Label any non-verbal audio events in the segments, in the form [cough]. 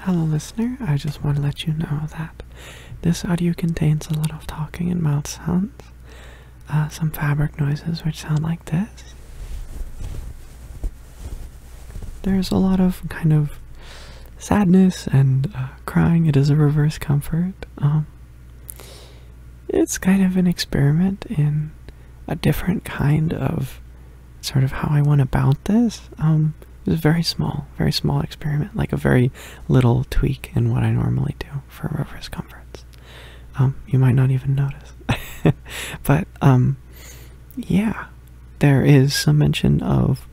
Hello, listener. I just want to let you know that this audio contains a lot of talking and mouth sounds, uh, some fabric noises which sound like this. There's a lot of kind of sadness and uh, crying. It is a reverse comfort. Um, it's kind of an experiment in a different kind of sort of how I went about this. Um, it was very small, very small experiment, like a very little tweak in what I normally do for reverse conference. Um, you might not even notice. [laughs] but um, yeah, there is some mention of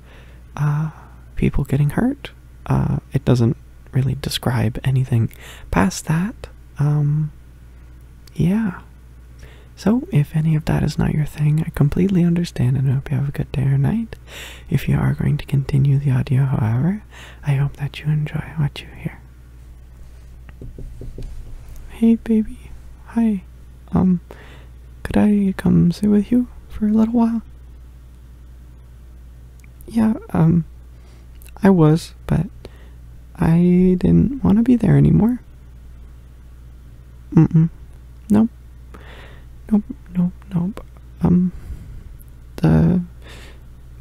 uh, people getting hurt. Uh, it doesn't really describe anything past that. Um, yeah. So, if any of that is not your thing, I completely understand and hope you have a good day or night. If you are going to continue the audio, however, I hope that you enjoy what you hear. Hey, baby. Hi. Um, could I come sit with you for a little while? Yeah, um, I was, but I didn't want to be there anymore. Nope. Nope, nope, nope. Um, the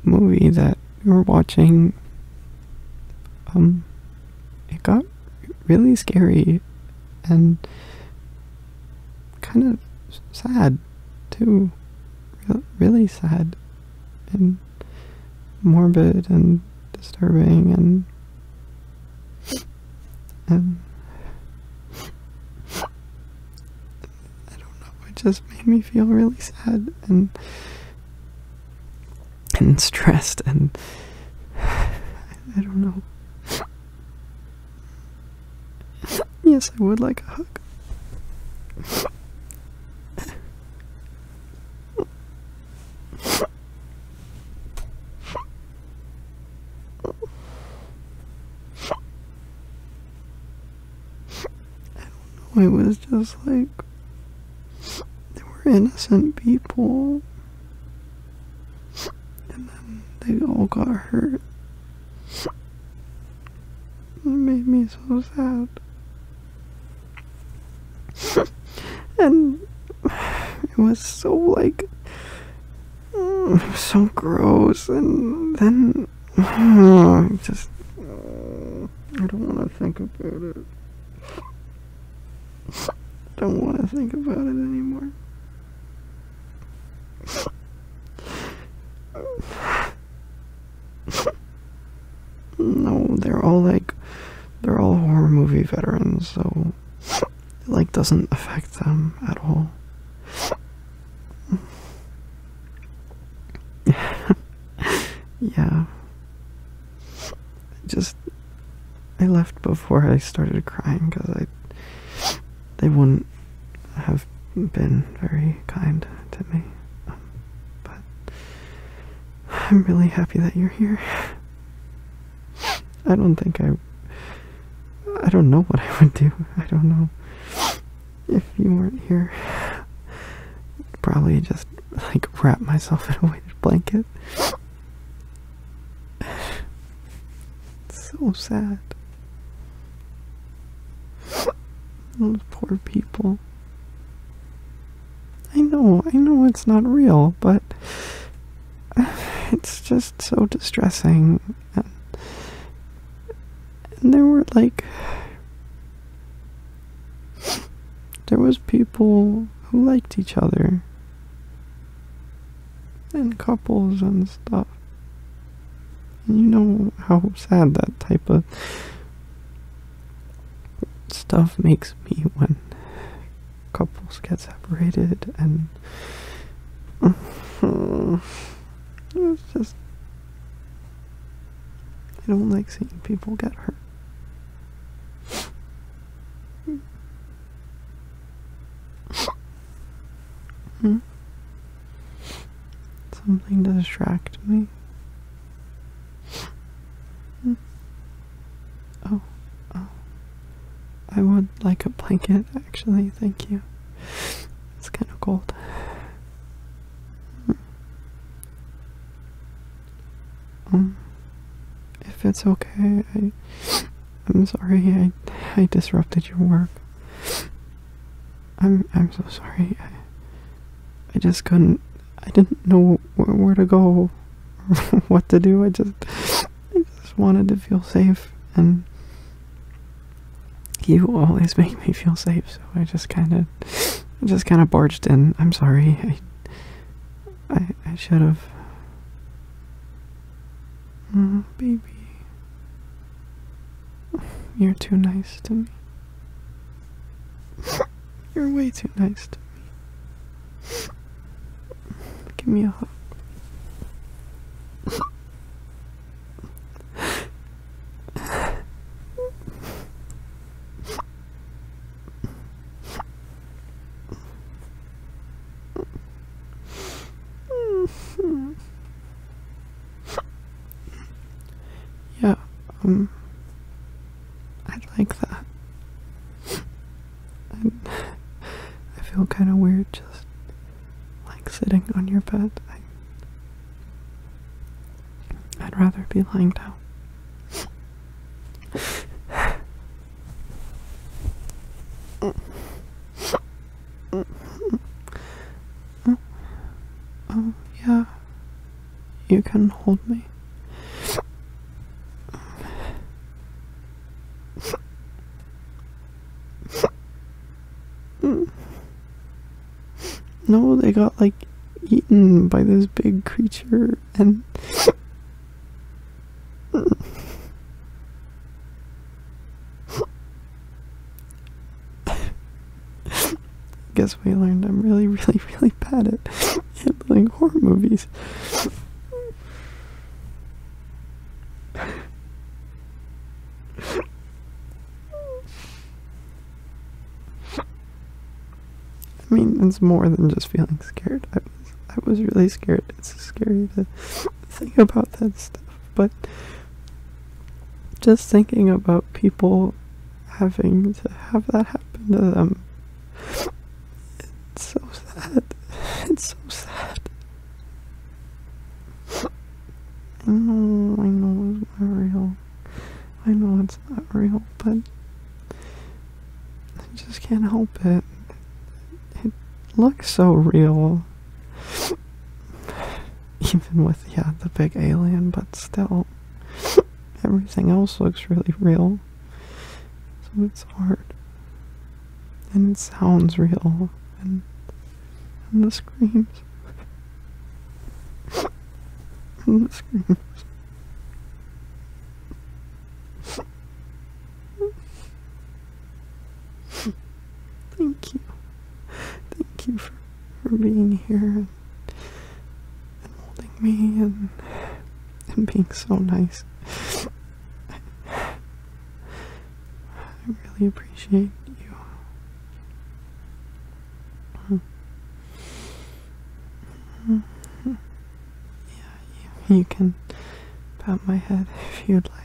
movie that we were watching, um, it got really scary and kind of sad too. really sad and morbid and disturbing and um, I don't know. It just made me feel really sad and and stressed and [sighs] I don't know. Yes, I would like a hug. I don't know. It was just like they were innocent people, and then they all got hurt. It made me so sad. [laughs] and it was so like mm, so gross and then [sighs] just I don't want to think about it. don't want to think about it anymore. No, they're all like they're all horror movie veterans, so it like doesn't affect them at all. [laughs] yeah. I just I left before I started crying cuz I they wouldn't have been very kind to me. but I'm really happy that you're here. I don't think I. I don't know what [laughs] I would do. I don't know. If you weren't here, probably just like wrap myself in a weighted blanket. so sad. Those poor people. I know, I know it's not real, but it's just so distressing. And, there were like. There was people who liked each other. And couples and stuff. you know how sad that type of stuff makes me when couples get separated and [laughs] it's just I don't like seeing people get hurt. Hmm? Something to distract me. Oh, oh. I would like a blanket, actually, thank you. It's kind of cold. Hmm. Um, if it's okay, I, I'm sorry. I, I disrupted your work. I'm, I'm so sorry. I, I just couldn't I didn't know where, to go or [laughs] what to do. I just, I just wanted to feel safe, and you always make me feel safe. So I just kind of, just kind of barged in. I'm sorry. I, I, should have. Oh, baby, you're too nice to me. You're way too nice to me. Give me a hug yeah, um, I'd like that. I feel kind of weird just like sitting on your bed. I, would rather be lying down. [laughs] oh, yeah. You can hold me. No, they got like eaten by this big creature and. [laughs] Guess we learned I'm really, really, really bad at handling horror movies. I mean, it's more than just feeling scared. I was, I was really scared. It's scary to think about that stuff, but just thinking about people having to have that happen to them. It's so sad. It's so sad. I know, I know it's not real. I know it's not real, but I just can't help it. It looks so real. [laughs] Even with, yeah, the big alien, but still, [laughs] everything else looks really real. So it's hard. And it sounds real. And, and the screams. [laughs] and the screams. Thank you. Thank you for, for being here and, holding me and, and being so nice. I, really appreciate you. Yeah, you, you can pat my head if you'd like.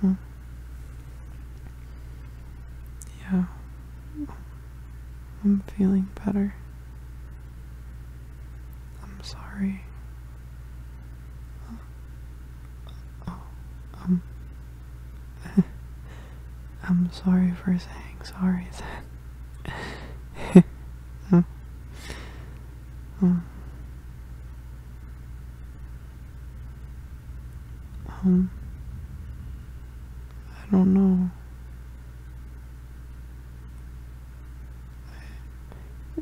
Hmm. Yeah, I'm feeling better. I'm sorry. Oh, oh um, [laughs] I'm sorry for saying sorry then. [laughs] Mm. Mm. Um, I don't know.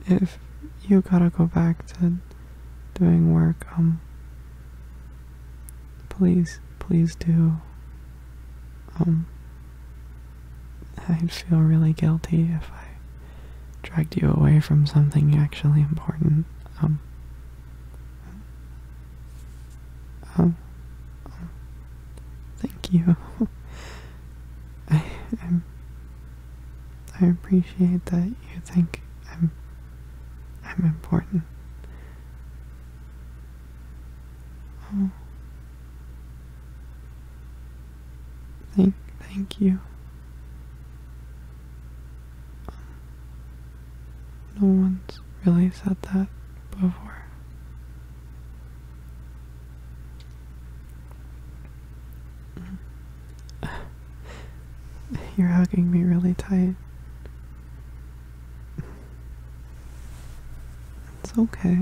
If you gotta go back to doing work, um, please, please do. Um, I'd feel really guilty if I dragged you away from something actually important. Um, um, thank you. [laughs] I'm I appreciate that you think I'm I'm important. Oh. Thank thank you. no one's really said that before. [sighs] You're hugging me really tight. It's okay.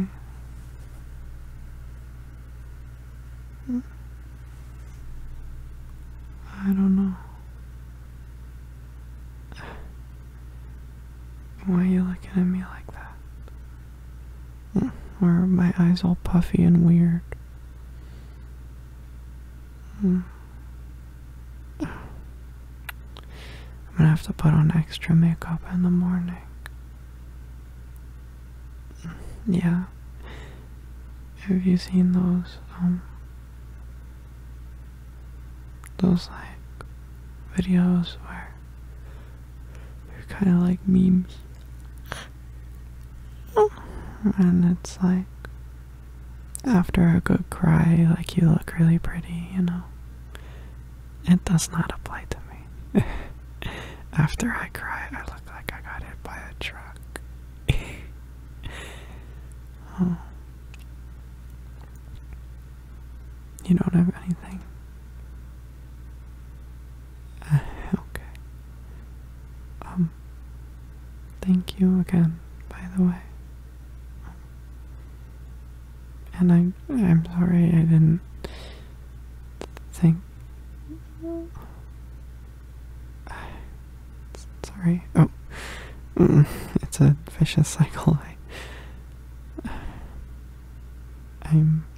I don't know. Why are you looking at me like that? Or my eyes all puffy and weird. I'm gonna have to put on extra makeup in the morning. Yeah. Have you seen those, um, those like videos where they're kind of like memes? Oh. And it's like, after a good cry, like you look really pretty, you know. It does not apply to me. [laughs] after I cry, I look like I got hit by a truck. [laughs] Oh. You don't have anything. Uh, okay. Um, thank you again, by the way. And I, I'm sorry I didn't think. [sighs] Sorry. Oh, mm, it's a vicious cycle. I, [sighs] I'm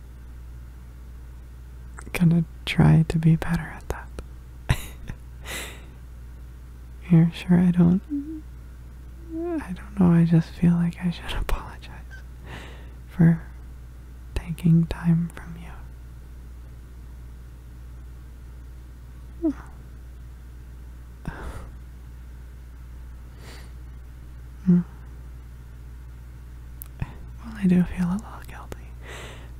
gonna try to be better at that. You're [laughs] sure I don't. I don't know, I just feel like I should [laughs] apologize for taking time from you. [sighs] Mm. Well, I do feel a little guilty.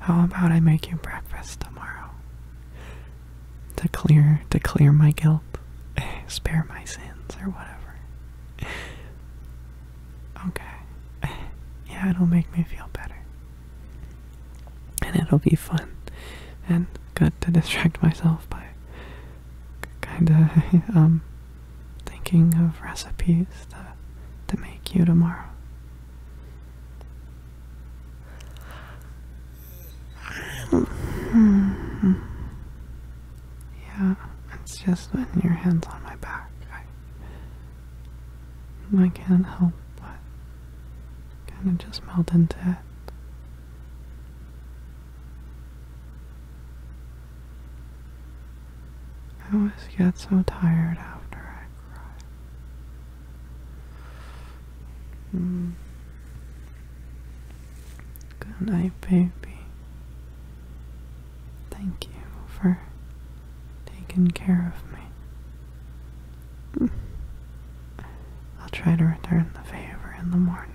How about I make you breakfast tomorrow? To clear to clear my guilt. [laughs] Spare my sins or whatever. [laughs] Okay. [laughs] Yeah, it'll make me feel better. And it'll be fun and good to distract myself by kinda um thinking of recipes that to make you tomorrow. yeah, it's just when your hand's on my back. I, I can't help but kind of just melt into it. I always get so tired after I cry. Good night, baby. Thank you for taking care of me. I'll try to return the favor in the morning.